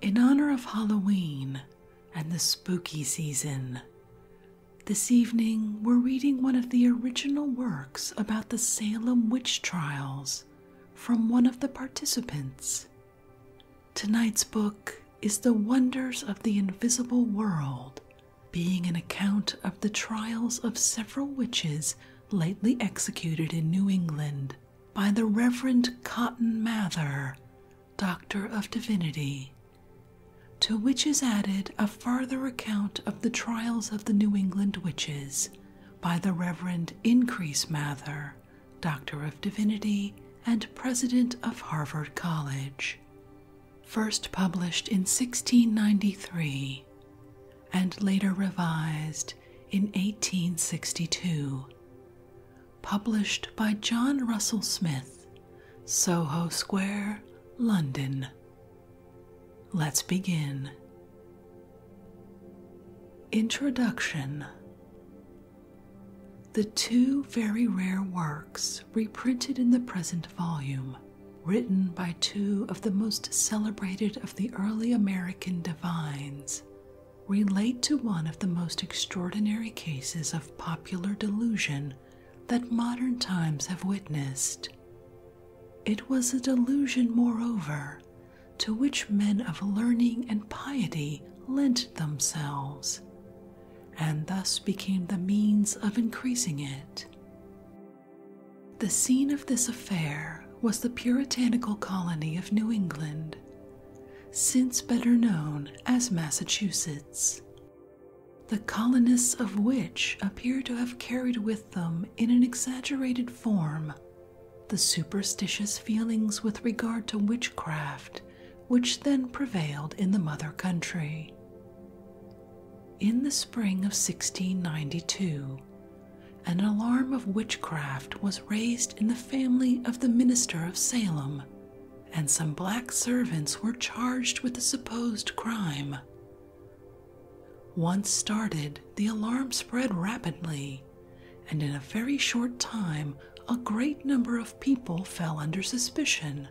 In honor of Halloween and the spooky season, this evening we're reading one of the original works about the Salem witch trials from one of the participants. Tonight's book is The Wonders of the Invisible World, being an account of the trials of several witches lately executed in New England by the Reverend Cotton Mather, Doctor of Divinity, to which is added a further account of the trials of the New England witches by the Reverend Increase Mather, Doctor of Divinity and President of Harvard College, first published in 1693 and later revised in 1862 published by John Russell Smith, Soho Square, London. Let's begin. Introduction The two very rare works reprinted in the present volume, written by two of the most celebrated of the early American divines, relate to one of the most extraordinary cases of popular delusion that modern times have witnessed. It was a delusion, moreover, to which men of learning and piety lent themselves, and thus became the means of increasing it. The scene of this affair was the puritanical colony of New England, since better known as Massachusetts, the colonists of which appear to have carried with them in an exaggerated form the superstitious feelings with regard to witchcraft which then prevailed in the mother country. In the spring of 1692, an alarm of witchcraft was raised in the family of the minister of Salem, and some black servants were charged with the supposed crime. Once started, the alarm spread rapidly, and in a very short time, a great number of people fell under suspicion,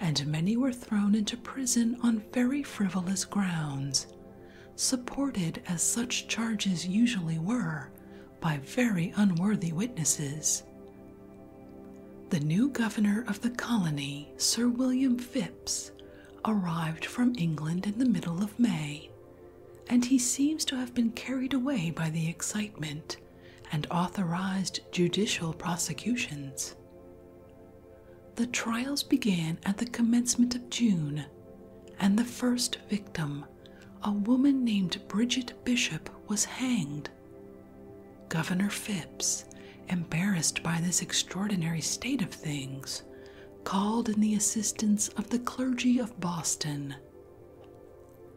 and many were thrown into prison on very frivolous grounds, supported as such charges usually were by very unworthy witnesses. The new governor of the colony, Sir William Phips, arrived from England in the middle of May, and he seems to have been carried away by the excitement and authorized judicial prosecutions. The trials began at the commencement of June, and the first victim, a woman named Bridget Bishop was hanged. Governor Phipps, embarrassed by this extraordinary state of things, called in the assistance of the clergy of Boston.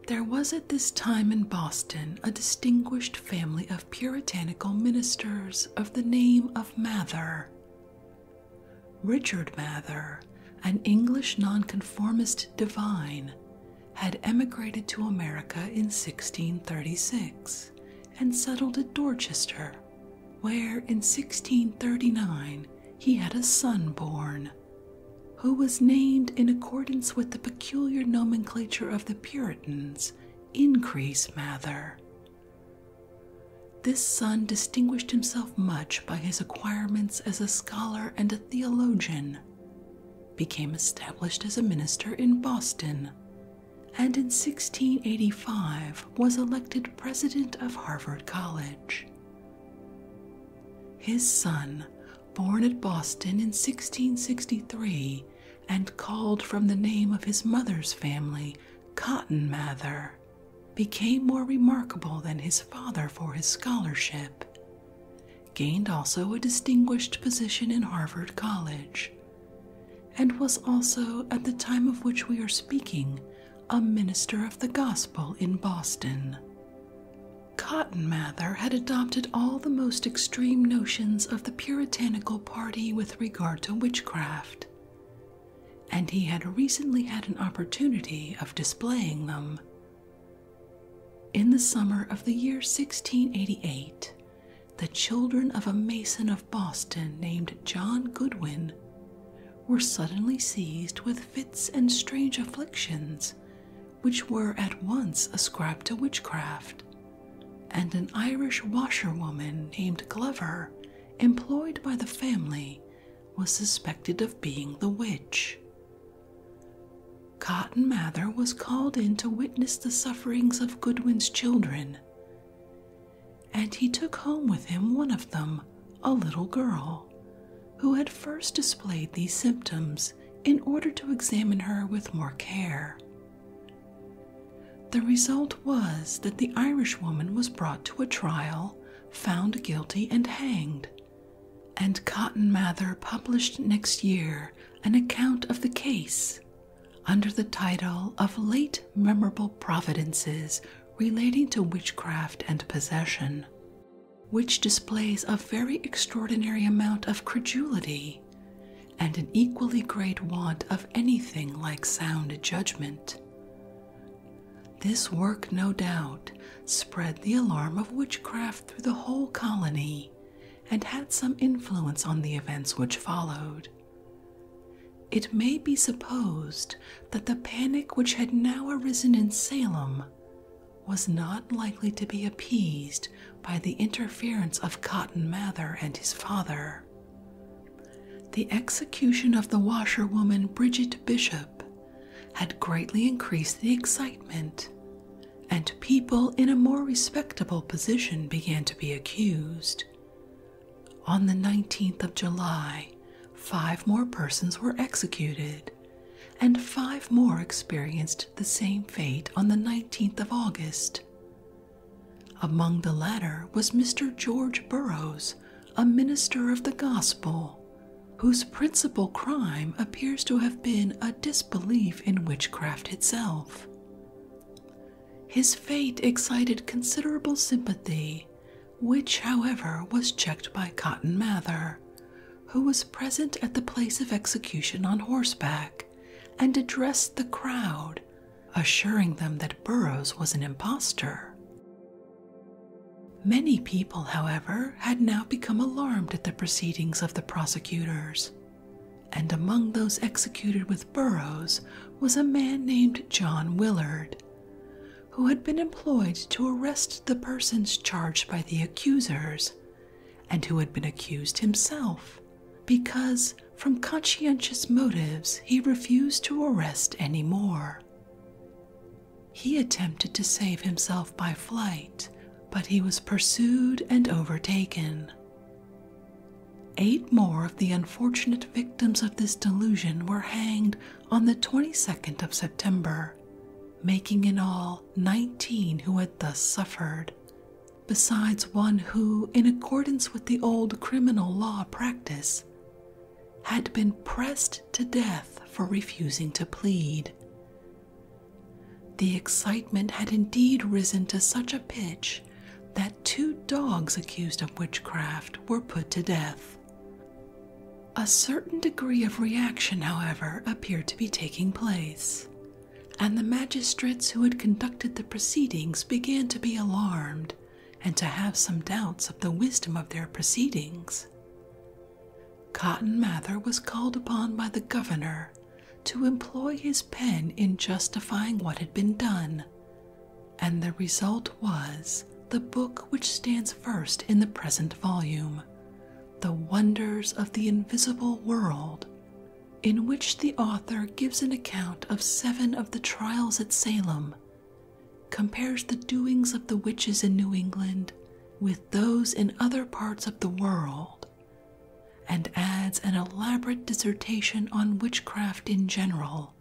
There was at this time in Boston a distinguished family of puritanical ministers of the name of Mather. Richard Mather, an English nonconformist divine, had emigrated to America in 1636 and settled at Dorchester, where in 1639 he had a son born, who was named in accordance with the peculiar nomenclature of the Puritans, Increase Mather. This son distinguished himself much by his acquirements as a scholar and a theologian, became established as a minister in Boston, and in 1685 was elected president of Harvard College. His son, born at Boston in 1663 and called from the name of his mother's family Cotton Mather, became more remarkable than his father for his scholarship gained also a distinguished position in Harvard College, and was also, at the time of which we are speaking, a minister of the gospel in Boston. Cotton Mather had adopted all the most extreme notions of the Puritanical party with regard to witchcraft, and he had recently had an opportunity of displaying them. In the summer of the year 1688, the children of a mason of Boston named John Goodwin were suddenly seized with fits and strange afflictions, which were at once ascribed to witchcraft, and an Irish washerwoman named Glover, employed by the family, was suspected of being the witch. Cotton Mather was called in to witness the sufferings of Goodwin's children, and he took home with him one of them, a little girl, who had first displayed these symptoms in order to examine her with more care. The result was that the Irishwoman was brought to a trial, found guilty, and hanged and Cotton Mather published next year an account of the case under the title of Late Memorable Providences Relating to Witchcraft and Possession, which displays a very extraordinary amount of credulity and an equally great want of anything like sound judgment. This work, no doubt, spread the alarm of witchcraft through the whole colony and had some influence on the events which followed. It may be supposed that the panic which had now arisen in Salem was not likely to be appeased by the interference of Cotton Mather and his father. The execution of the washerwoman Bridget Bishop had greatly increased the excitement, and people in a more respectable position began to be accused. On the 19th of July, five more persons were executed, and five more experienced the same fate on the 19th of August. Among the latter was Mr. George Burroughs, a minister of the gospel, whose principal crime appears to have been a disbelief in witchcraft itself. His fate excited considerable sympathy, which, however, was checked by Cotton Mather, who was present at the place of execution on horseback and addressed the crowd, assuring them that Burroughs was an impostor. Many people, however, had now become alarmed at the proceedings of the prosecutors, and among those executed with Burrows was a man named John Willard, who had been employed to arrest the persons charged by the accusers, and who had been accused himself, because from conscientious motives he refused to arrest any more. He attempted to save himself by flight, but he was pursued and overtaken. Eight more of the unfortunate victims of this delusion were hanged on the 22nd of September, making in all 19 who had thus suffered, besides one who, in accordance with the old criminal law practice, had been pressed to death for refusing to plead, the excitement had indeed risen to such a pitch that two dogs accused of witchcraft were put to death. A certain degree of reaction, however, appeared to be taking place, and the magistrates who had conducted the proceedings began to be alarmed and to have some doubts of the wisdom of their proceedings. Cotton Mather was called upon by the governor to employ his pen in justifying what had been done, and the result was the book which stands first in the present volume, The Wonders of the Invisible World, in which the author gives an account of seven of the trials at Salem, compares the doings of the witches in New England with those in other parts of the world, and adds an elaborate dissertation on witchcraft in general.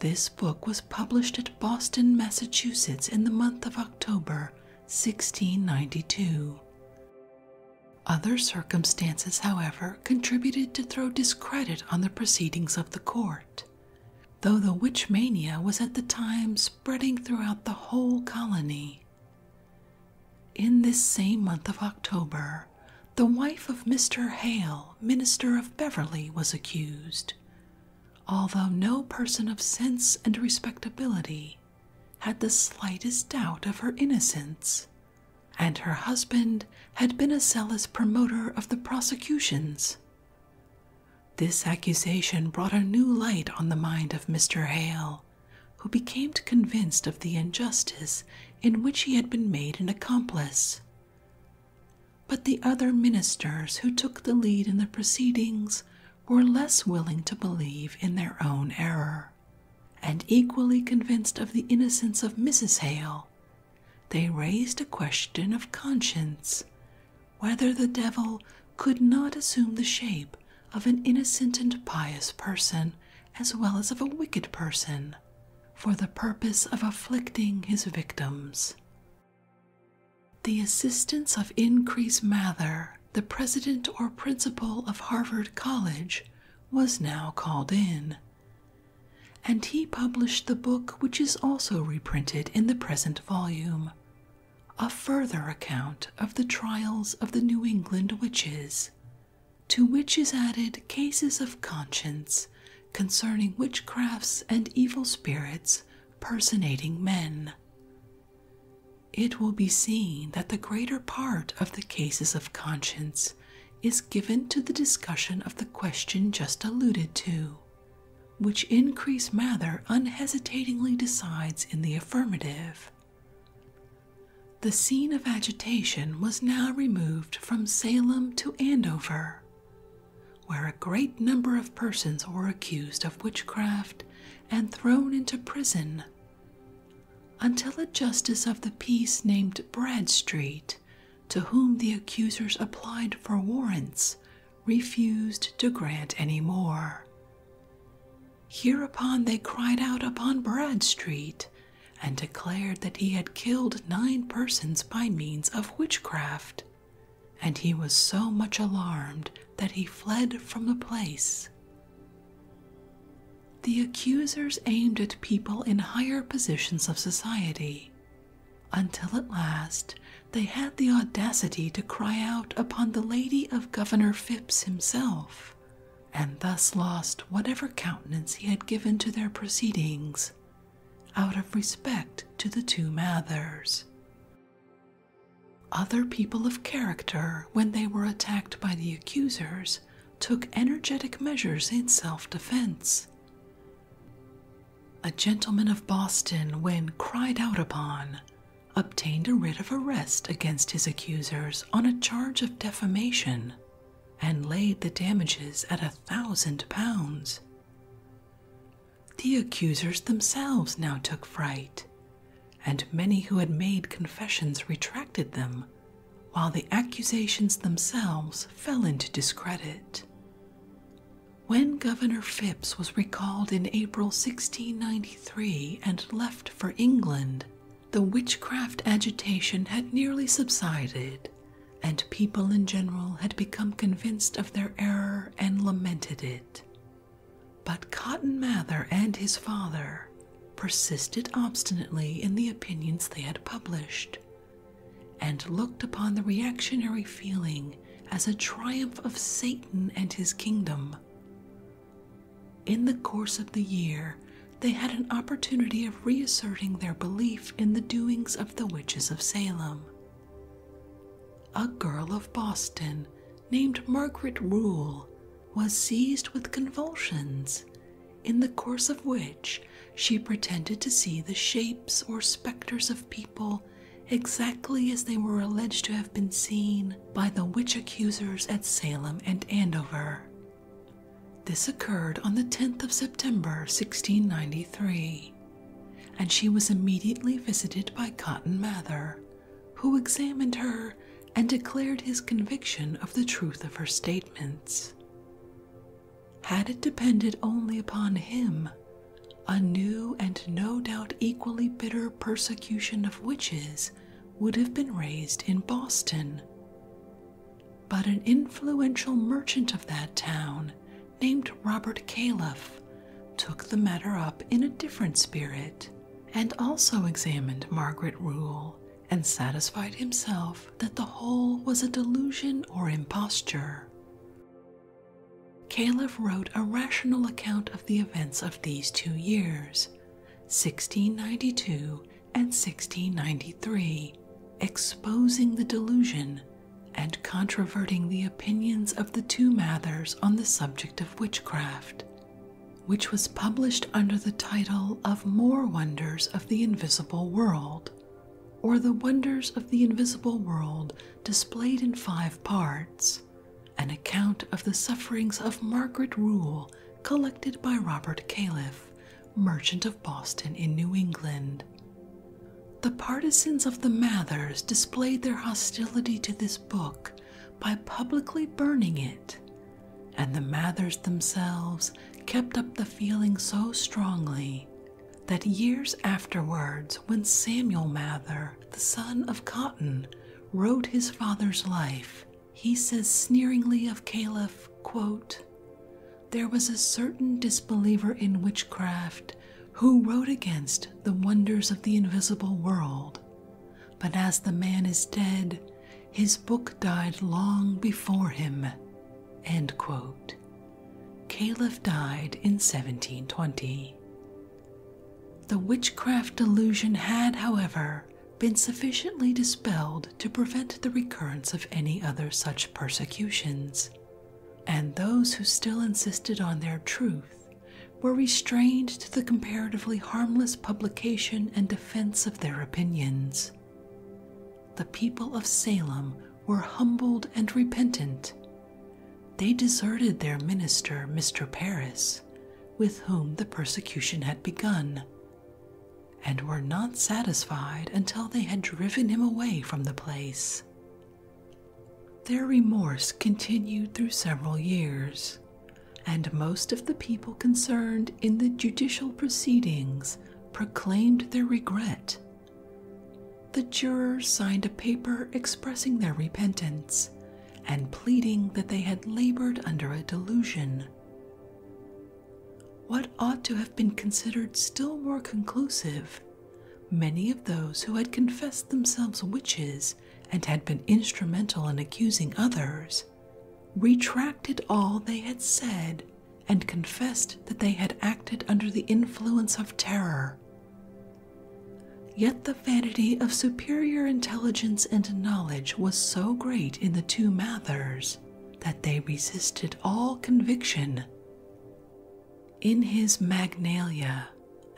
This book was published at Boston, Massachusetts in the month of October 1692. Other circumstances, however, contributed to throw discredit on the proceedings of the court though the witch mania was at the time spreading throughout the whole colony. In this same month of October, the wife of Mr. Hale, minister of Beverly, was accused, although no person of sense and respectability had the slightest doubt of her innocence, and her husband had been a zealous promoter of the prosecutions this accusation brought a new light on the mind of Mr. Hale, who became convinced of the injustice in which he had been made an accomplice. But the other ministers who took the lead in the proceedings were less willing to believe in their own error, and equally convinced of the innocence of Mrs. Hale, they raised a question of conscience, whether the devil could not assume the shape of an innocent and pious person as well as of a wicked person for the purpose of afflicting his victims. The assistance of Increase Mather, the president or principal of Harvard College, was now called in, and he published the book which is also reprinted in the present volume a further account of the trials of the New England witches, to which is added cases of conscience concerning witchcrafts and evil spirits personating men. It will be seen that the greater part of the cases of conscience is given to the discussion of the question just alluded to which increase Mather unhesitatingly decides in the affirmative. The scene of agitation was now removed from Salem to Andover, where a great number of persons were accused of witchcraft and thrown into prison, until a justice of the peace named Bradstreet, to whom the accusers applied for warrants, refused to grant any more. Hereupon they cried out upon Bradstreet and declared that he had killed nine persons by means of witchcraft, and he was so much alarmed that he fled from the place. The accusers aimed at people in higher positions of society, until at last they had the audacity to cry out upon the lady of Governor Phipps himself, and thus lost whatever countenance he had given to their proceedings, out of respect to the two Mathers. Other people of character, when they were attacked by the accusers, took energetic measures in self defense. A gentleman of Boston, when cried out upon, obtained a writ of arrest against his accusers on a charge of defamation and laid the damages at a thousand pounds. The accusers themselves now took fright, and many who had made confessions retracted them, while the accusations themselves fell into discredit. When Governor Phipps was recalled in April 1693 and left for England, the witchcraft agitation had nearly subsided, and people in general had become convinced of their error and lamented it. But Cotton Mather and his father persisted obstinately in the opinions they had published, and looked upon the reactionary feeling as a triumph of Satan and his kingdom. In the course of the year, they had an opportunity of reasserting their belief in the doings of the witches of Salem. A girl of Boston named Margaret Rule was seized with convulsions, in the course of which she pretended to see the shapes or specters of people exactly as they were alleged to have been seen by the witch accusers at Salem and Andover. This occurred on the 10th of September 1693, and she was immediately visited by Cotton Mather, who examined her and declared his conviction of the truth of her statements. Had it depended only upon him, a new and no doubt equally bitter persecution of witches would have been raised in Boston. But an influential merchant of that town, named Robert Caliph, took the matter up in a different spirit and also examined Margaret Rule and satisfied himself that the whole was a delusion or imposture. Caliph wrote a rational account of the events of these two years, 1692 and 1693, exposing the delusion and controverting the opinions of the two Mathers on the subject of witchcraft, which was published under the title of More Wonders of the Invisible World, or The Wonders of the Invisible World Displayed in Five Parts an account of the sufferings of Margaret Rule, collected by Robert Califf, merchant of Boston in New England. The partisans of the Mathers displayed their hostility to this book by publicly burning it, and the Mathers themselves kept up the feeling so strongly that years afterwards, when Samuel Mather the son of Cotton, wrote his father's life, he says sneeringly of Caliph, quote, There was a certain disbeliever in witchcraft who wrote against the wonders of the invisible world. But as the man is dead, his book died long before him. End quote. Caliph died in 1720. The witchcraft delusion had, however, been sufficiently dispelled to prevent the recurrence of any other such persecutions, and those who still insisted on their truth were restrained to the comparatively harmless publication and defense of their opinions. The people of Salem were humbled and repentant they deserted their minister, Mr. Paris, with whom the persecution had begun, and were not satisfied until they had driven him away from the place. Their remorse continued through several years, and most of the people concerned in the judicial proceedings proclaimed their regret. The jurors signed a paper expressing their repentance and pleading that they had labored under a delusion. What ought to have been considered still more conclusive, many of those who had confessed themselves witches and had been instrumental in accusing others retracted all they had said and confessed that they had acted under the influence of terror, Yet the vanity of superior intelligence and knowledge was so great in the two Mathers that they resisted all conviction. In his Magnalia,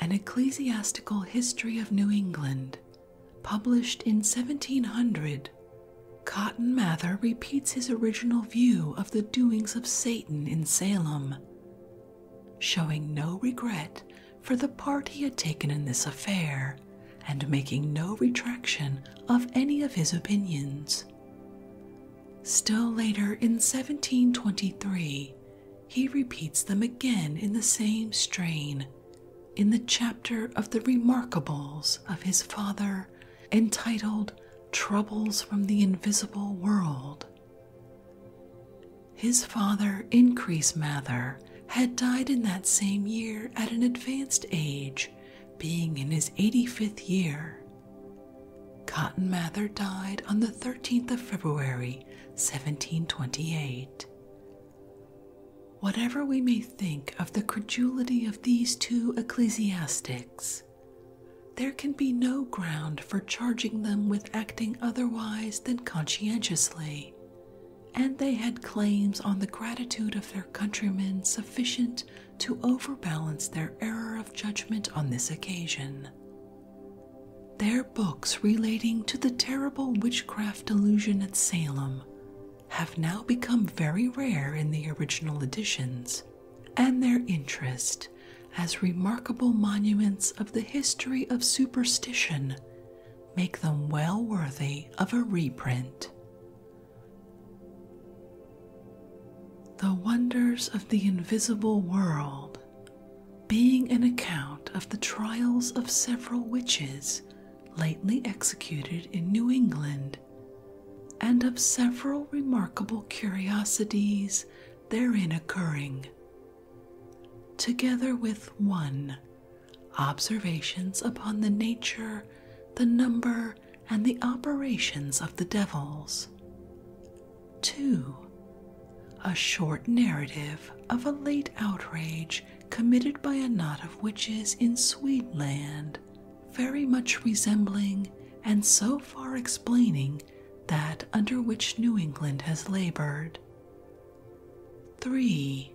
an ecclesiastical history of New England, published in 1700, Cotton Mather repeats his original view of the doings of Satan in Salem showing no regret for the part he had taken in this affair and making no retraction of any of his opinions. Still later in 1723, he repeats them again in the same strain in the chapter of the remarkables of his father entitled Troubles from the Invisible World. His father, Increase Mather, had died in that same year at an advanced age, being in his 85th year. Cotton Mather died on the 13th of February, 1728. Whatever we may think of the credulity of these two ecclesiastics, there can be no ground for charging them with otherwise than conscientiously, and they had claims on the gratitude of their countrymen sufficient to overbalance their error of judgment on this occasion. Their books relating to the terrible witchcraft delusion at Salem have now become very rare in the original editions, and their interest as remarkable monuments of the history of superstition make them well worthy of a reprint. The Wonders of the Invisible World, being an account of the trials of several witches lately executed in New England, and of several remarkable curiosities therein occurring, together with 1. Observations upon the nature, the number, and the operations of the devils. 2. A short narrative of a late outrage committed by a knot of witches in Swedenland, very much resembling and so far explaining that under which New England has labored. 3.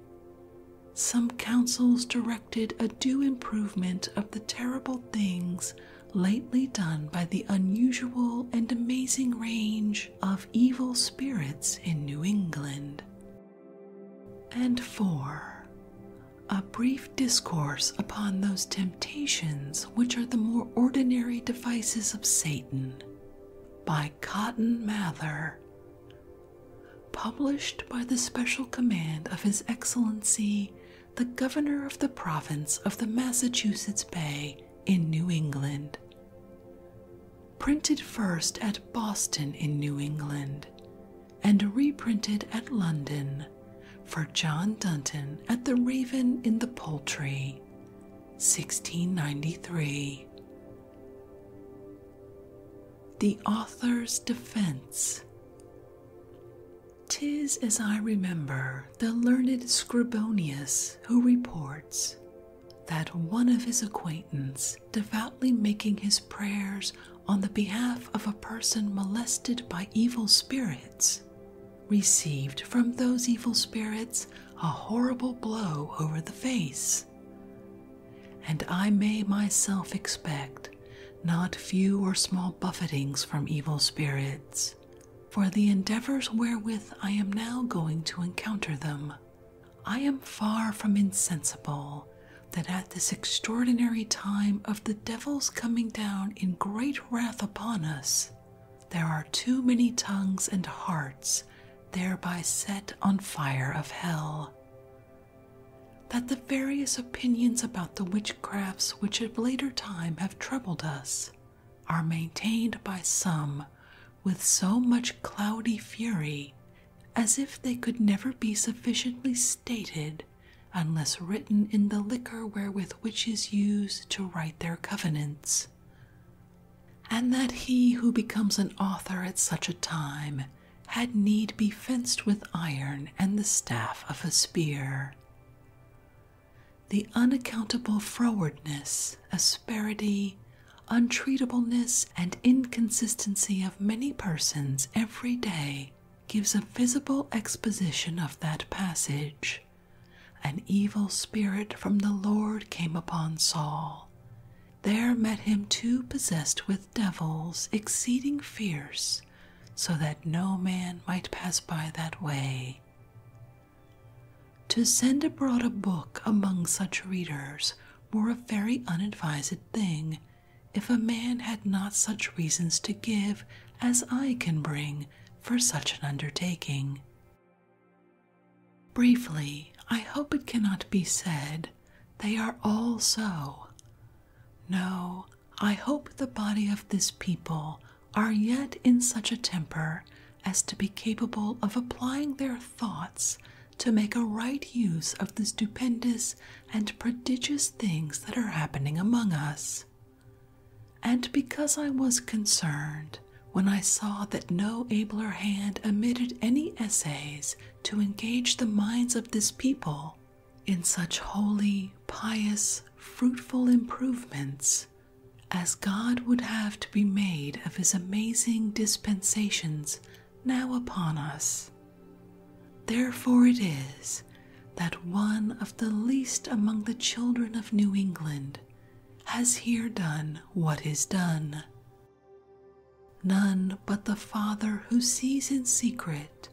Some councils directed a due improvement of the terrible things lately done by the unusual and amazing range of evil spirits in New England. And 4. A brief discourse upon those temptations which are the more ordinary devices of Satan, by Cotton Mather, published by the special command of His Excellency the Governor of the Province of the Massachusetts Bay in New England. Printed first at Boston in New England, and reprinted at London for John Dunton at the Raven in the Poultry, 1693. The Author's Defense. Tis as I remember the learned Scribonius who reports that one of his acquaintance, devoutly making his prayers on the behalf of a person molested by evil spirits, received from those evil spirits a horrible blow over the face. And I may myself expect not few or small buffetings from evil spirits, for the endeavors wherewith I am now going to encounter them. I am far from insensible that at this extraordinary time of the devil's coming down in great wrath upon us, there are too many tongues and hearts thereby set on fire of hell. That the various opinions about the witchcrafts which at later time have troubled us are maintained by some with so much cloudy fury as if they could never be sufficiently stated unless written in the liquor wherewith witches use to write their covenants and that he who becomes an author at such a time had need be fenced with iron and the staff of a spear. The unaccountable frowardness, asperity, untreatableness, and inconsistency of many persons every day gives a visible exposition of that passage an evil spirit from the Lord came upon Saul. There met him two possessed with devils, exceeding fierce, so that no man might pass by that way. To send abroad a book among such readers were a very unadvised thing, if a man had not such reasons to give as I can bring for such an undertaking. Briefly, I hope it cannot be said, they are all so. No, I hope the body of this people are yet in such a temper as to be capable of applying their thoughts to make a right use of the stupendous and prodigious things that are happening among us. And because I was concerned when I saw that no abler hand omitted any essays to engage the minds of this people in such holy, pious, fruitful improvements as God would have to be made of his amazing dispensations now upon us. Therefore it is that one of the least among the children of New England has here done what is done. None but the Father who sees in secret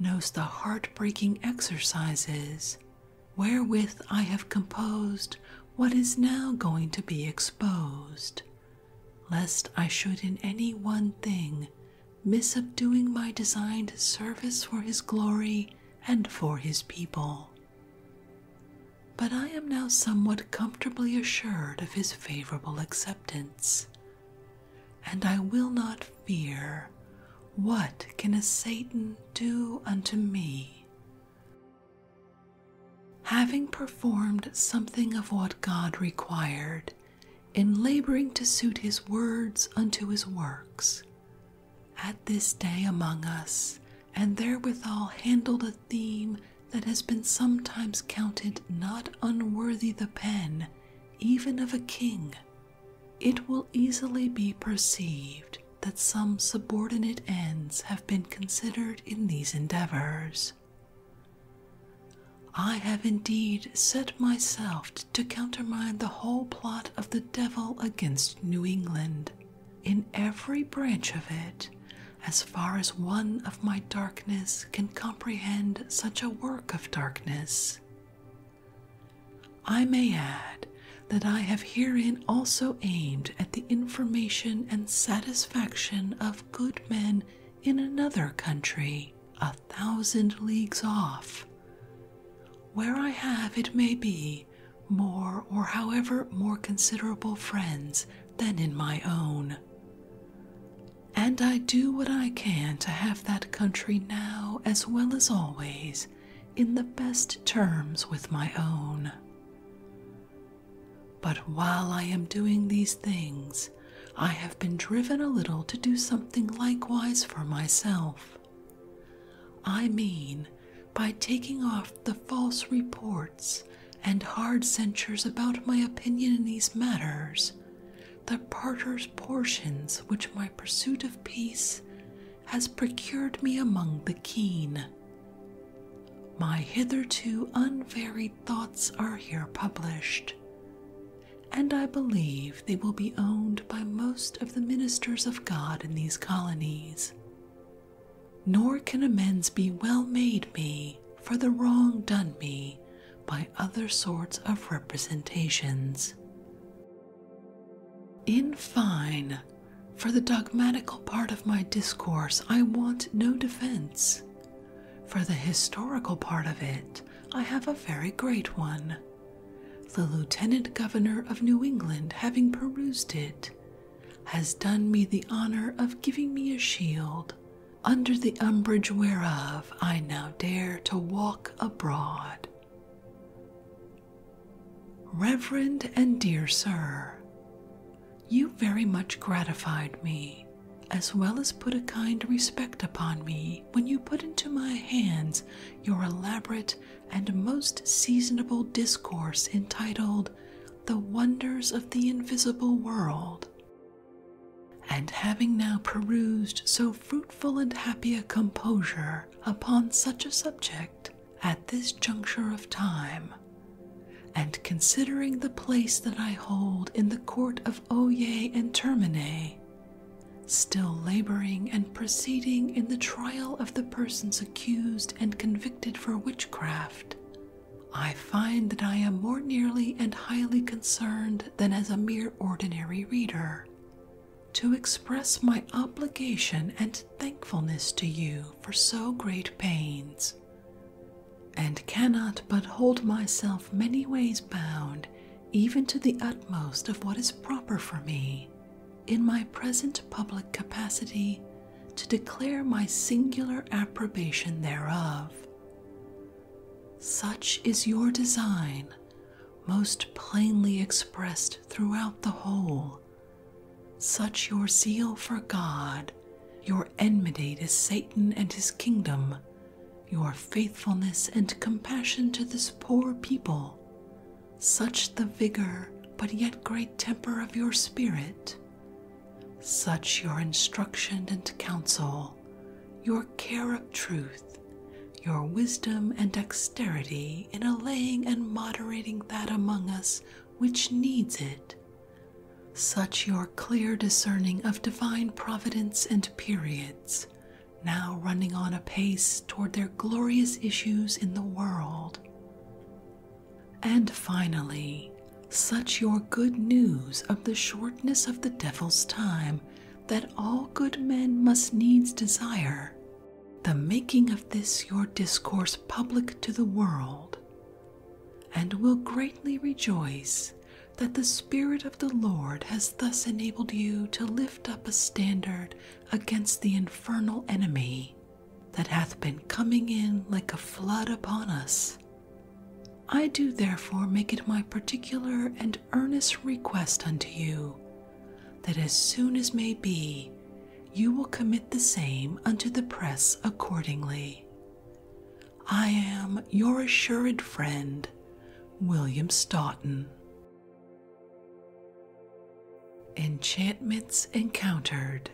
knows the heart-breaking exercises wherewith I have composed what is now going to be exposed, lest I should in any one thing miss of doing my designed service for his glory and for his people but I am now somewhat comfortably assured of his favorable acceptance, and I will not fear what can a Satan do unto me. Having performed something of what God required in laboring to suit his words unto his works, at this day among us, and therewithal handled a theme that has been sometimes counted not unworthy the pen, even of a king, it will easily be perceived that some subordinate ends have been considered in these endeavors. I have indeed set myself to countermine the whole plot of the devil against New England, in every branch of it, as far as one of my darkness can comprehend such a work of darkness. I may add that I have herein also aimed at the information and satisfaction of good men in another country, a thousand leagues off, where I have, it may be, more or however more considerable friends than in my own. And I do what I can to have that country now, as well as always, in the best terms with my own. But while I am doing these things, I have been driven a little to do something likewise for myself. I mean, by taking off the false reports and hard censures about my opinion in these matters, the parters portions which my pursuit of peace has procured me among the keen. My hitherto unvaried thoughts are here published, and I believe they will be owned by most of the ministers of God in these colonies nor can amends be well made me for the wrong done me by other sorts of representations. In fine, for the dogmatical part of my discourse I want no defense. For the historical part of it, I have a very great one. The lieutenant governor of New England having perused it, has done me the honor of giving me a shield, under the umbrage whereof I now dare to walk abroad. Reverend and dear sir, you very much gratified me, as well as put a kind respect upon me when you put into my hands your elaborate and most seasonable discourse entitled the wonders of the invisible world. And having now perused so fruitful and happy a composure upon such a subject at this juncture of time, and considering the place that I hold in the court of Oye and Termine, still laboring and proceeding in the trial of the persons accused and convicted for witchcraft, I find that I am more nearly and highly concerned than as a mere ordinary reader to express my obligation and thankfulness to you for so great pains, and cannot but hold myself many ways bound even to the utmost of what is proper for me in my present public capacity to declare my singular approbation thereof. Such is your design, most plainly expressed throughout the whole. Such your zeal for God, your enmity to Satan and his kingdom, your faithfulness and compassion to this poor people, such the vigor but yet great temper of your spirit. Such your instruction and counsel, your care of truth, your wisdom and dexterity in allaying and moderating that among us which needs it. Such your clear discerning of divine providence and periods, now running on apace toward their glorious issues in the world. And finally, such your good news of the shortness of the devil's time that all good men must needs desire, the making of this your discourse public to the world, and will greatly rejoice that the Spirit of the Lord has thus enabled you to lift up a standard against the infernal enemy that hath been coming in like a flood upon us. I do therefore make it my particular and earnest request unto you, that as soon as may be, you will commit the same unto the press accordingly. I am your assured friend, William Stoughton. Enchantments Encountered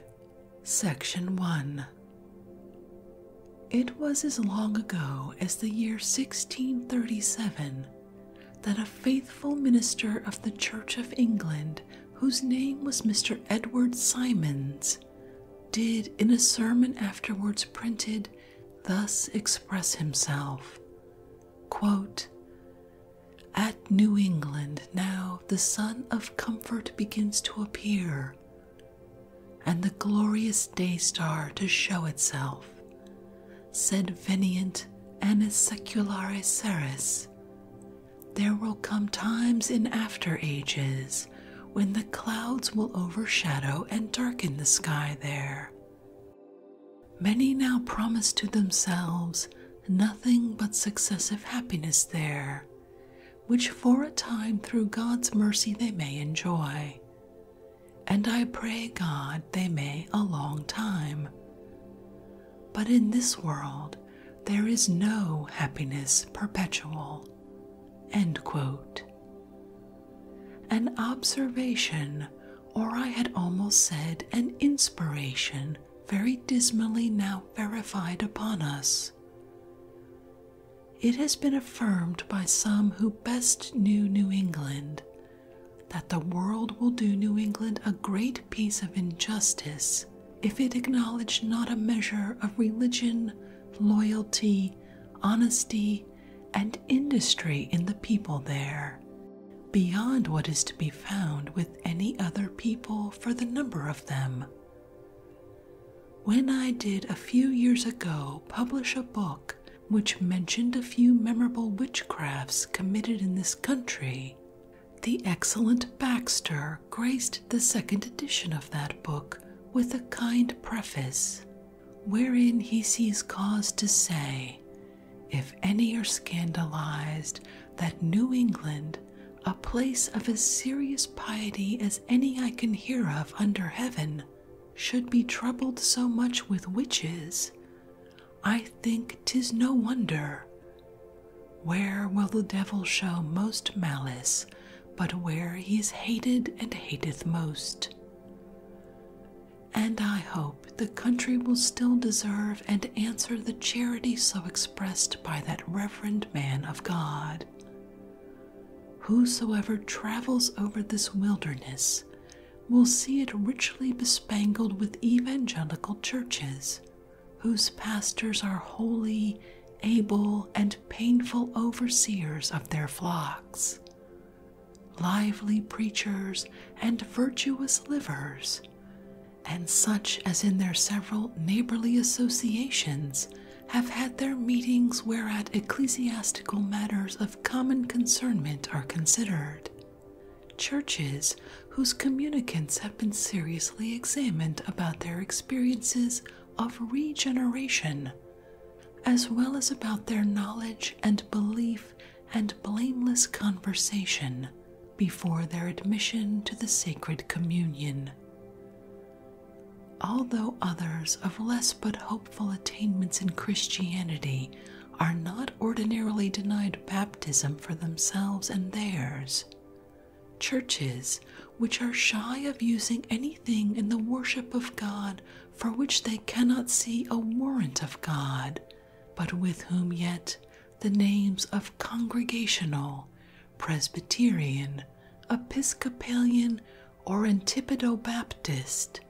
Section 1 It was as long ago as the year 1637 that a faithful minister of the Church of England, whose name was Mr. Edward Symonds, did in a sermon afterwards printed thus express himself Quote, at New England now the sun of comfort begins to appear, and the glorious day star to show itself, sed veniant annis seculare seris. There will come times in after ages when the clouds will overshadow and darken the sky there. Many now promise to themselves nothing but successive happiness there, which for a time through God's mercy they may enjoy. And I pray God they may a long time. But in this world there is no happiness perpetual. An observation, or I had almost said an inspiration, very dismally now verified upon us. It has been affirmed by some who best knew New England that the world will do New England a great piece of injustice if it acknowledge not a measure of religion, loyalty, honesty, and industry in the people there, beyond what is to be found with any other people for the number of them. When I did a few years ago publish a book which mentioned a few memorable witchcrafts committed in this country, the excellent Baxter graced the second edition of that book with a kind preface, wherein he sees cause to say, If any are scandalized that New England a place of as serious piety as any I can hear of under heaven, should be troubled so much with witches, I think 'tis no wonder. Where will the devil show most malice, but where he is hated and hateth most? And I hope the country will still deserve and answer the charity so expressed by that reverend man of God. Whosoever travels over this wilderness will see it richly bespangled with evangelical churches, whose pastors are holy, able, and painful overseers of their flocks, lively preachers and virtuous livers, and such as in their several neighborly associations have had their meetings whereat ecclesiastical matters of common concernment are considered. Churches whose communicants have been seriously examined about their experiences of regeneration, as well as about their knowledge and belief and blameless conversation before their admission to the Sacred Communion. Although others of less but hopeful attainments in Christianity are not ordinarily denied baptism for themselves and theirs, churches which are shy of using anything in the worship of God for which they cannot see a warrant of God, but with whom yet the names of congregational Presbyterian, Episcopalian, or Antipodo Baptist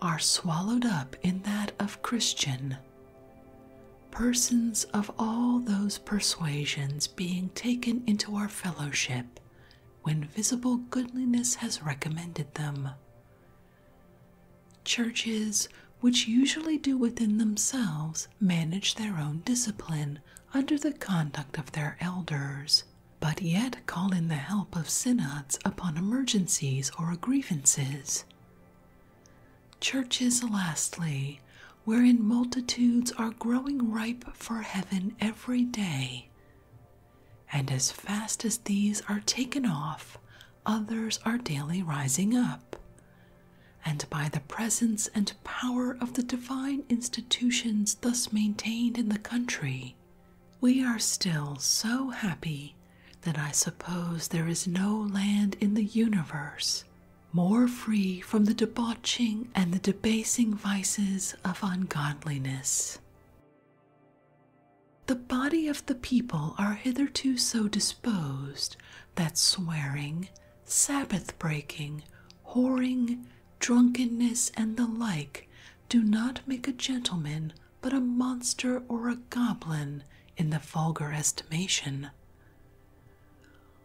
are swallowed up in that of Christian. Persons of all those persuasions being taken into our fellowship when visible goodliness has recommended them. Churches, which usually do within themselves manage their own discipline under the conduct of their elders, but yet call in the help of synods upon emergencies or grievances. Churches, lastly, wherein multitudes are growing ripe for heaven every day. And as fast as these are taken off, others are daily rising up, and by the presence and power of the divine institutions thus maintained in the country, we are still so happy that I suppose there is no land in the universe more free from the debauching and the debasing vices of ungodliness. The body of the people are hitherto so disposed that swearing, Sabbath breaking, whoring, drunkenness, and the like do not make a gentleman but a monster or a goblin in the vulgar estimation.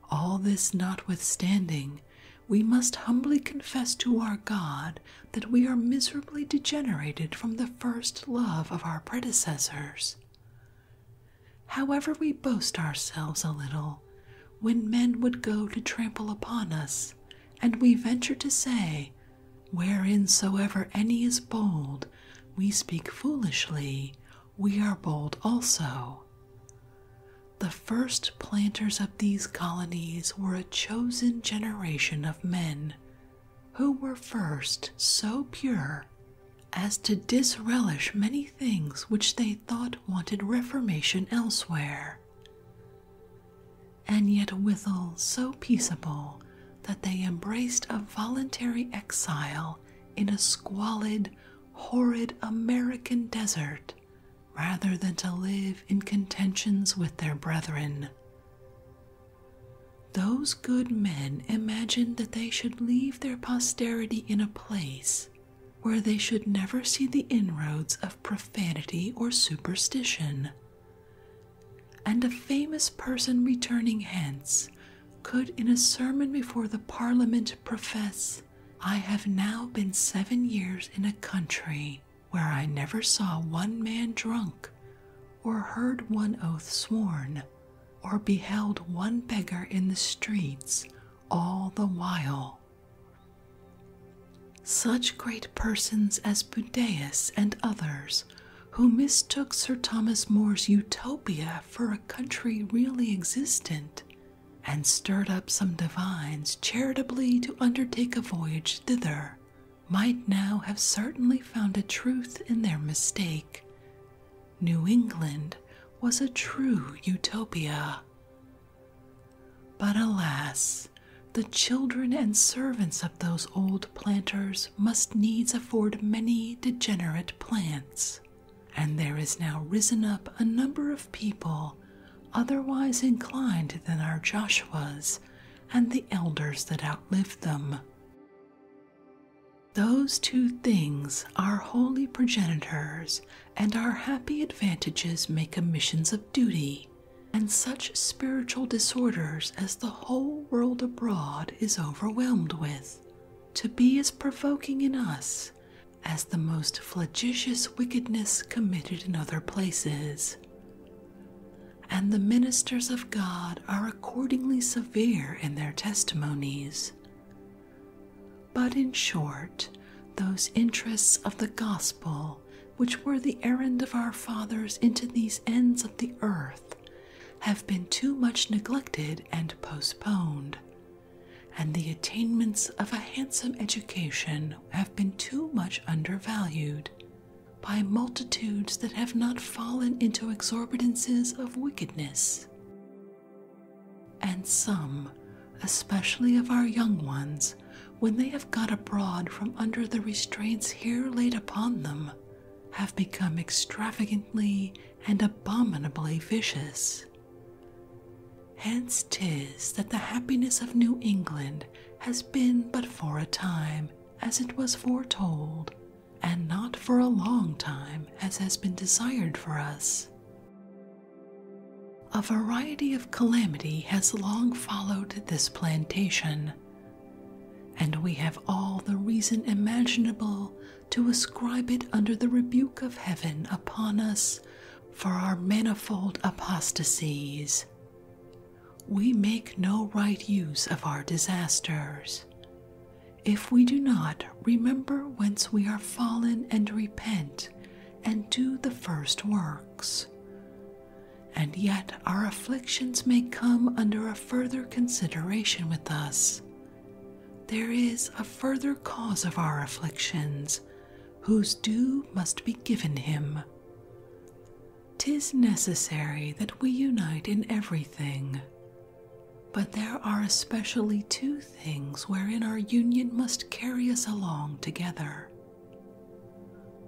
All this notwithstanding, we must humbly confess to our God that we are miserably degenerated from the first love of our predecessors. However, we boast ourselves a little when men would go to trample upon us, and we venture to say, Whereinsoever any is bold, we speak foolishly, we are bold also. The first planters of these colonies were a chosen generation of men who were first so pure as to disrelish many things which they thought wanted reformation elsewhere, and yet withal so peaceable that they embraced a voluntary exile in a squalid, horrid American desert rather than to live in contentions with their brethren. Those good men imagined that they should leave their posterity in a place where they should never see the inroads of profanity or superstition. And a famous person returning hence could, in a sermon before the Parliament, profess, I have now been seven years in a country where I never saw one man drunk, or heard one oath sworn, or beheld one beggar in the streets, all the while. Such great persons as Budaeus and others, who mistook Sir Thomas More's utopia for a country really existent, and stirred up some divines charitably to undertake a voyage thither, might now have certainly found a truth in their mistake, New England was a true utopia. But alas, the children and servants of those old planters must needs afford many degenerate plants, and there is now risen up a number of people otherwise inclined than our Joshuas and the elders that outlived them. Those two things are holy progenitors, and our happy advantages make omissions of duty, and such spiritual disorders as the whole world abroad is overwhelmed with, to be as provoking in us as the most flagitious wickedness committed in other places. And the ministers of God are accordingly severe in their testimonies but in short, those interests of the gospel which were the errand of our fathers into these ends of the earth have been too much neglected and postponed, and the attainments of a handsome education have been too much undervalued by multitudes that have not fallen into exorbitances of wickedness. And some, especially of our young ones, when they have got abroad from under the restraints here laid upon them, have become extravagantly and abominably vicious. Hence tis that the happiness of New England has been but for a time, as it was foretold, and not for a long time, as has been desired for us. A variety of calamity has long followed this plantation, and we have all the reason imaginable to ascribe it under the rebuke of heaven upon us for our manifold apostasies. We make no right use of our disasters, if we do not remember whence we are fallen and repent and do the first works. And yet our afflictions may come under a further consideration with us. There is a further cause of our afflictions, whose due must be given him. Tis necessary that we unite in everything, but there are especially two things wherein our union must carry us along together.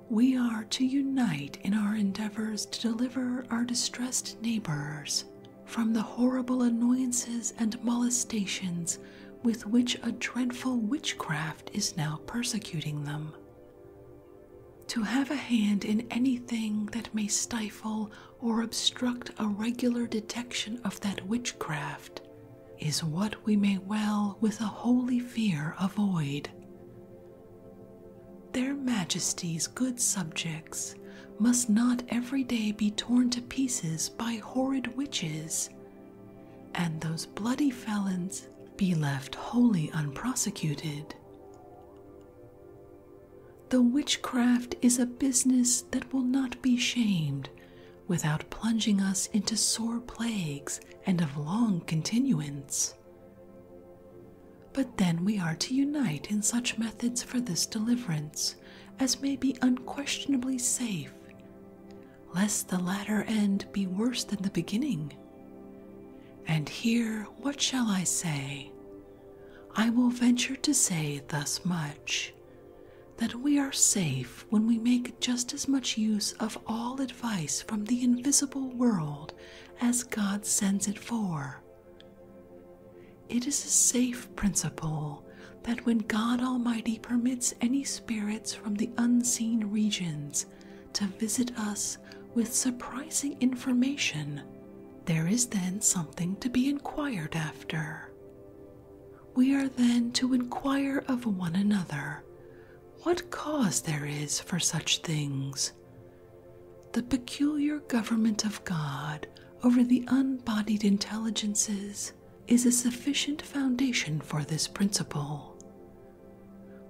We are to unite in our endeavors to deliver our distressed neighbors from the horrible annoyances and molestations with which a dreadful witchcraft is now persecuting them. To have a hand in anything that may stifle or obstruct a regular detection of that witchcraft is what we may well with a holy fear avoid. Their Majesties, good subjects, must not every day be torn to pieces by horrid witches, and those bloody felons be left wholly unprosecuted. The witchcraft is a business that will not be shamed without plunging us into sore plagues and of long continuance. But then we are to unite in such methods for this deliverance as may be unquestionably safe, lest the latter end be worse than the beginning. And here, what shall I say? I will venture to say thus much that we are safe when we make just as much use of all advice from the invisible world as God sends it for. It is a safe principle that when God Almighty permits any spirits from the unseen regions to visit us with surprising information, there is then something to be inquired after. We are then to inquire of one another what cause there is for such things. The peculiar government of God over the unbodied intelligences is a sufficient foundation for this principle.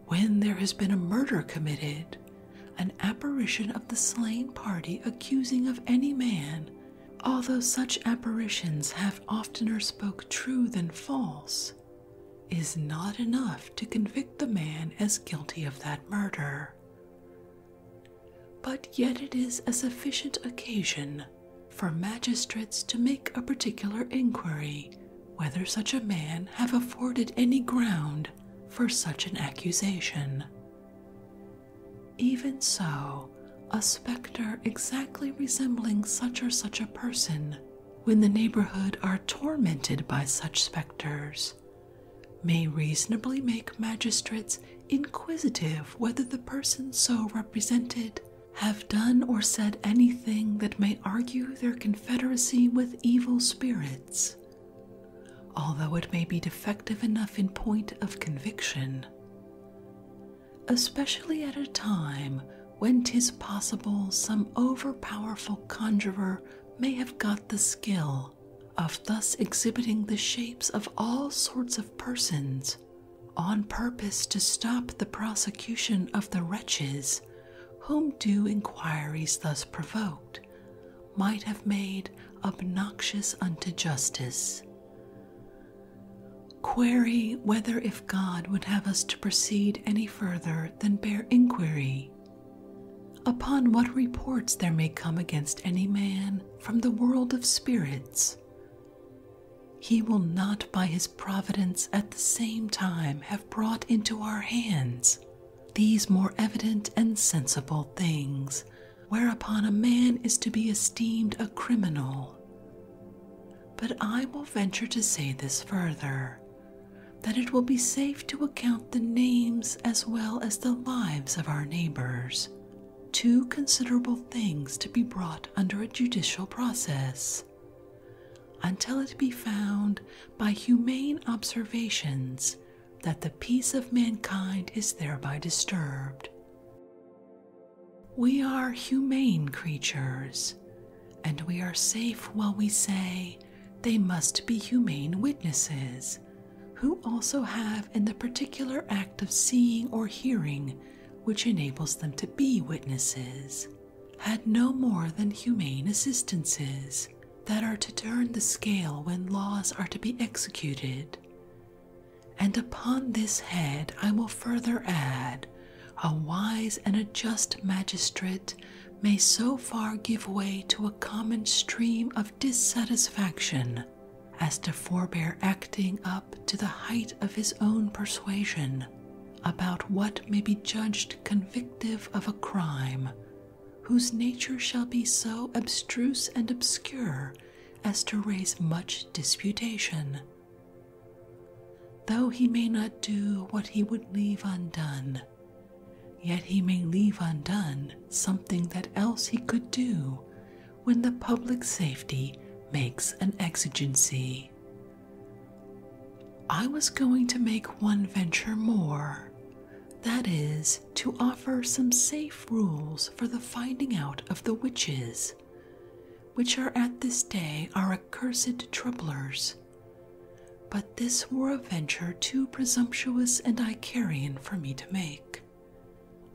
When there has been a murder committed, an apparition of the slain party accusing of any man although such apparitions have oftener spoke true than false, is not enough to convict the man as guilty of that murder. But yet it is a sufficient occasion for magistrates to make a particular inquiry whether such a man have afforded any ground for such an accusation. Even so, a spectre exactly resembling such or such a person, when the neighborhood are tormented by such specters, may reasonably make magistrates inquisitive whether the person so represented have done or said anything that may argue their confederacy with evil spirits, although it may be defective enough in point of conviction especially at a time when 'tis possible some over-powerful conjurer may have got the skill of thus exhibiting the shapes of all sorts of persons on purpose to stop the prosecution of the wretches whom due inquiries thus provoked might have made obnoxious unto justice Query whether if God would have us to proceed any further than bare inquiry, upon what reports there may come against any man from the world of spirits. He will not by his providence at the same time have brought into our hands these more evident and sensible things whereupon a man is to be esteemed a criminal. But I will venture to say this further that it will be safe to account the names as well as the lives of our neighbors, two considerable things to be brought under a judicial process. Until it be found by humane observations that the peace of mankind is thereby disturbed. We are humane creatures, and we are safe while we say they must be humane witnesses who also have in the particular act of seeing or hearing which enables them to be witnesses had no more than humane assistances that are to turn the scale when laws are to be executed and upon this head I will further add, a wise and a just magistrate may so far give way to a common stream of dissatisfaction as to forbear acting up to the height of his own persuasion about what may be judged convictive of a crime, whose nature shall be so abstruse and obscure as to raise much disputation. Though he may not do what he would leave undone, yet he may leave undone something that else he could do when the public safety makes an exigency. I was going to make one venture more, that is, to offer some safe rules for the finding out of the witches, which are at this day our accursed troublers. But this were a venture too presumptuous and Icarian for me to make.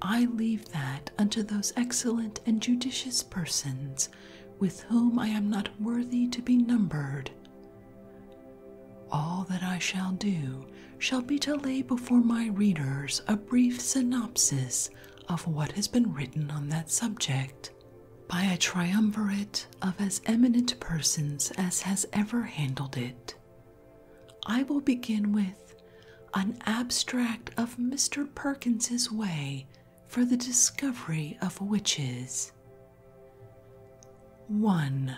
I leave that unto those excellent and judicious persons with whom I am not worthy to be numbered. All that I shall do shall be to lay before my readers a brief synopsis of what has been written on that subject by a triumvirate of as eminent persons as has ever handled it. I will begin with an abstract of Mr. Perkins's way for the discovery of witches. 1.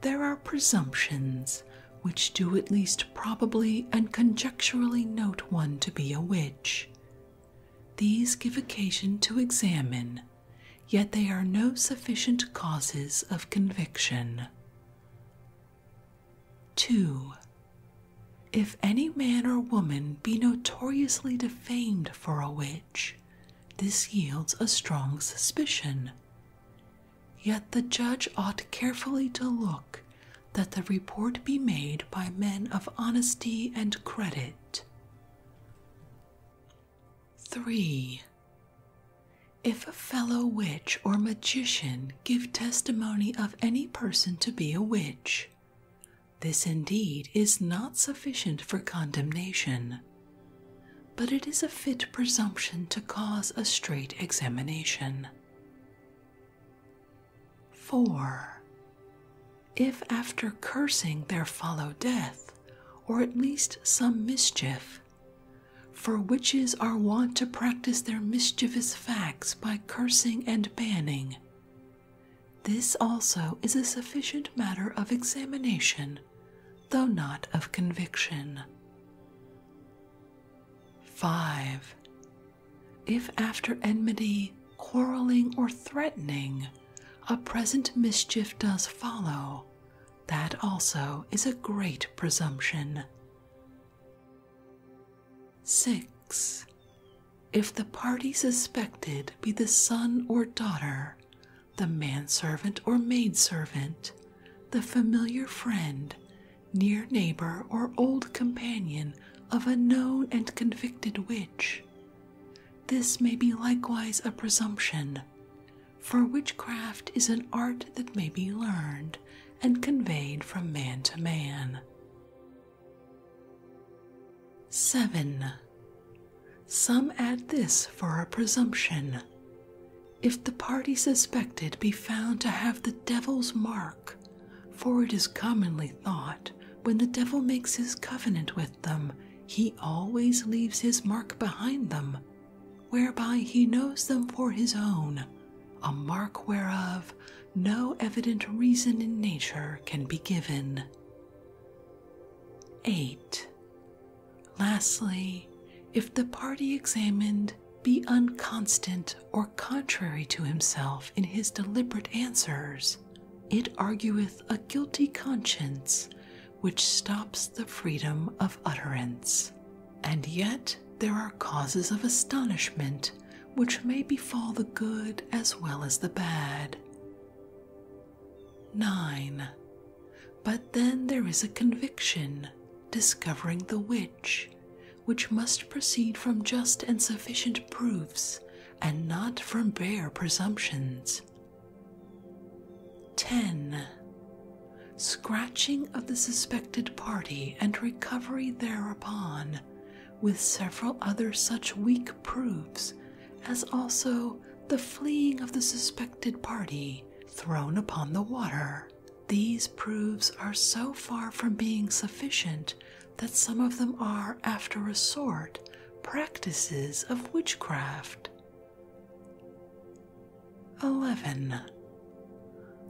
There are presumptions which do at least probably and conjecturally note one to be a witch. These give occasion to examine, yet they are no sufficient causes of conviction. 2. If any man or woman be notoriously defamed for a witch, this yields a strong suspicion. Yet the judge ought carefully to look that the report be made by men of honesty and credit. 3. If a fellow witch or magician give testimony of any person to be a witch, this indeed is not sufficient for condemnation, but it is a fit presumption to cause a straight examination. 4. If after cursing there follow death, or at least some mischief, for witches are wont to practice their mischievous facts by cursing and banning. This also is a sufficient matter of examination, though not of conviction. 5. If after enmity, quarreling, or threatening, a present mischief does follow, that also is a great presumption. 6. If the party suspected be the son or daughter, the manservant or maidservant, the familiar friend, near neighbor, or old companion of a known and convicted witch. This may be likewise a presumption, for witchcraft is an art that may be learned and conveyed from man to man. 7. Some add this for a presumption if the party suspected be found to have the devil's mark, for it is commonly thought when the devil makes his covenant with them, he always leaves his mark behind them, whereby he knows them for his own, a mark whereof no evident reason in nature can be given. 8. Lastly, if the party examined be unconstant or contrary to himself in his deliberate answers, it argueth a guilty conscience which stops the freedom of utterance. And yet there are causes of astonishment which may befall the good as well as the bad. 9. But then there is a conviction discovering the witch which must proceed from just and sufficient proofs and not from bare presumptions. 10. Scratching of the suspected party and recovery thereupon, with several other such weak proofs as also the fleeing of the suspected party thrown upon the water, these proofs are so far from being sufficient that some of them are, after a sort, practices of witchcraft. 11.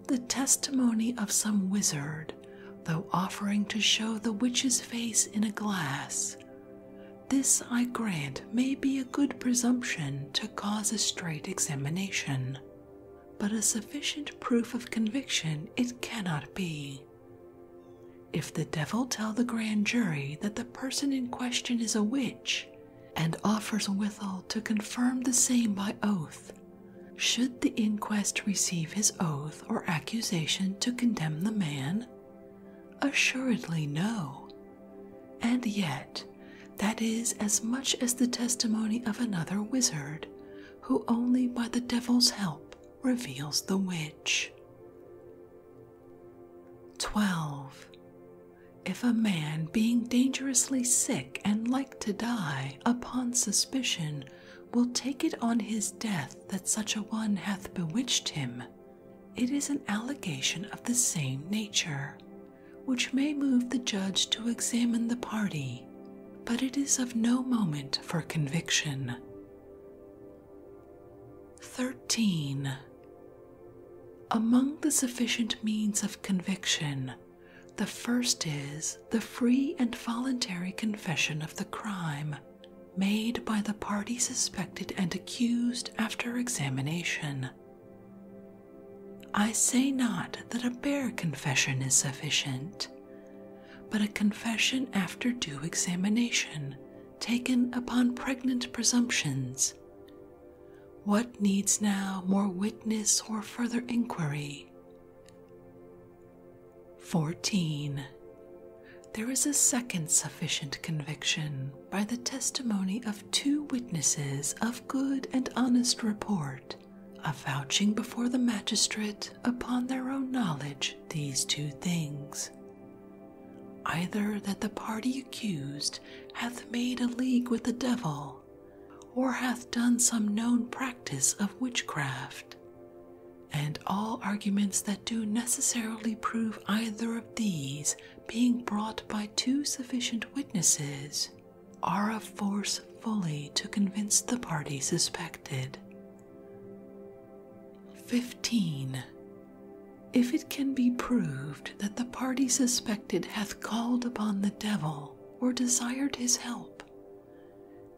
The testimony of some wizard, though offering to show the witch's face in a glass. This, I grant, may be a good presumption to cause a straight examination but a sufficient proof of conviction it cannot be. If the devil tell the grand jury that the person in question is a witch, and offers withal to confirm the same by oath, should the inquest receive his oath or accusation to condemn the man? Assuredly no. And yet, that is, as much as the testimony of another wizard, who only by the devil's help reveals the witch. 12. If a man being dangerously sick and like to die upon suspicion will take it on his death that such a one hath bewitched him, it is an allegation of the same nature, which may move the judge to examine the party, but it is of no moment for conviction. 13. Among the sufficient means of conviction, the first is the free and voluntary confession of the crime made by the party suspected and accused after examination. I say not that a bare confession is sufficient, but a confession after due examination, taken upon pregnant presumptions. What needs now more witness or further inquiry? 14. There is a second sufficient conviction by the testimony of two witnesses of good and honest report, avouching before the magistrate upon their own knowledge these two things either that the party accused hath made a league with the devil, or hath done some known practice of witchcraft. And all arguments that do necessarily prove either of these being brought by two sufficient witnesses, are a force fully to convince the party suspected. 15. If it can be proved that the party suspected hath called upon the devil or desired his help,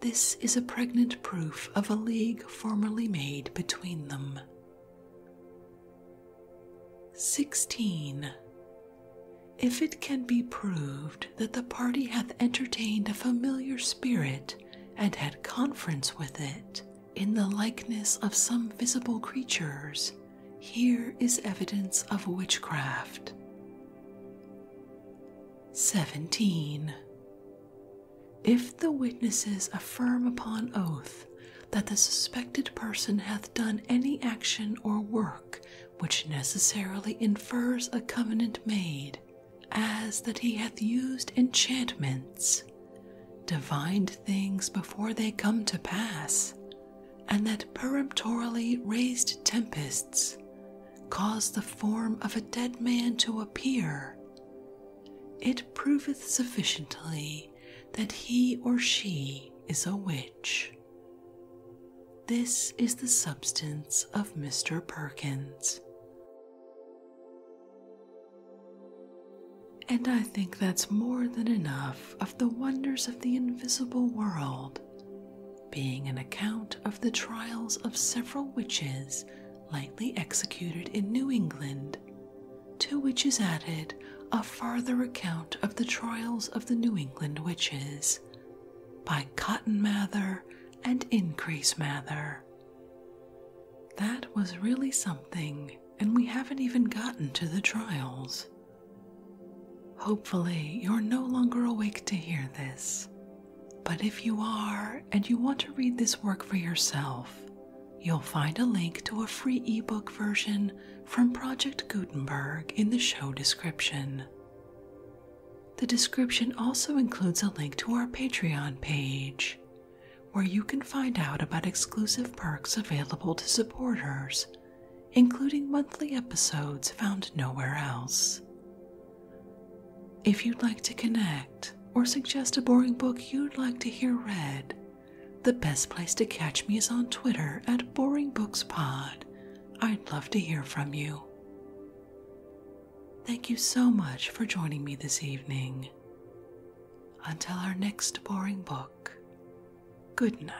this is a pregnant proof of a league formerly made between them. 16. If it can be proved that the party hath entertained a familiar spirit and had conference with it, in the likeness of some visible creatures, here is evidence of witchcraft. 17. If the witnesses affirm upon oath that the suspected person hath done any action or work which necessarily infers a covenant made, as that he hath used enchantments, divined things before they come to pass, and that peremptorily raised tempests, caused the form of a dead man to appear. It proveth sufficiently that he or she is a witch. This is the substance of Mr. Perkins. And I think that's more than enough of the wonders of the invisible world, being an account of the trials of several witches lightly executed in New England, to which is added a farther account of the trials of the New England witches by Cotton Mather and Increase Mather. That was really something, and we haven't even gotten to the trials. Hopefully, you're no longer awake to hear this. But if you are and you want to read this work for yourself, you'll find a link to a free ebook version from Project Gutenberg in the show description. The description also includes a link to our Patreon page, where you can find out about exclusive perks available to supporters, including monthly episodes found nowhere else. If you'd like to connect or suggest a boring book you'd like to hear read, the best place to catch me is on Twitter at BoringBooksPod I'd love to hear from you. Thank you so much for joining me this evening. Until our next boring book, good night.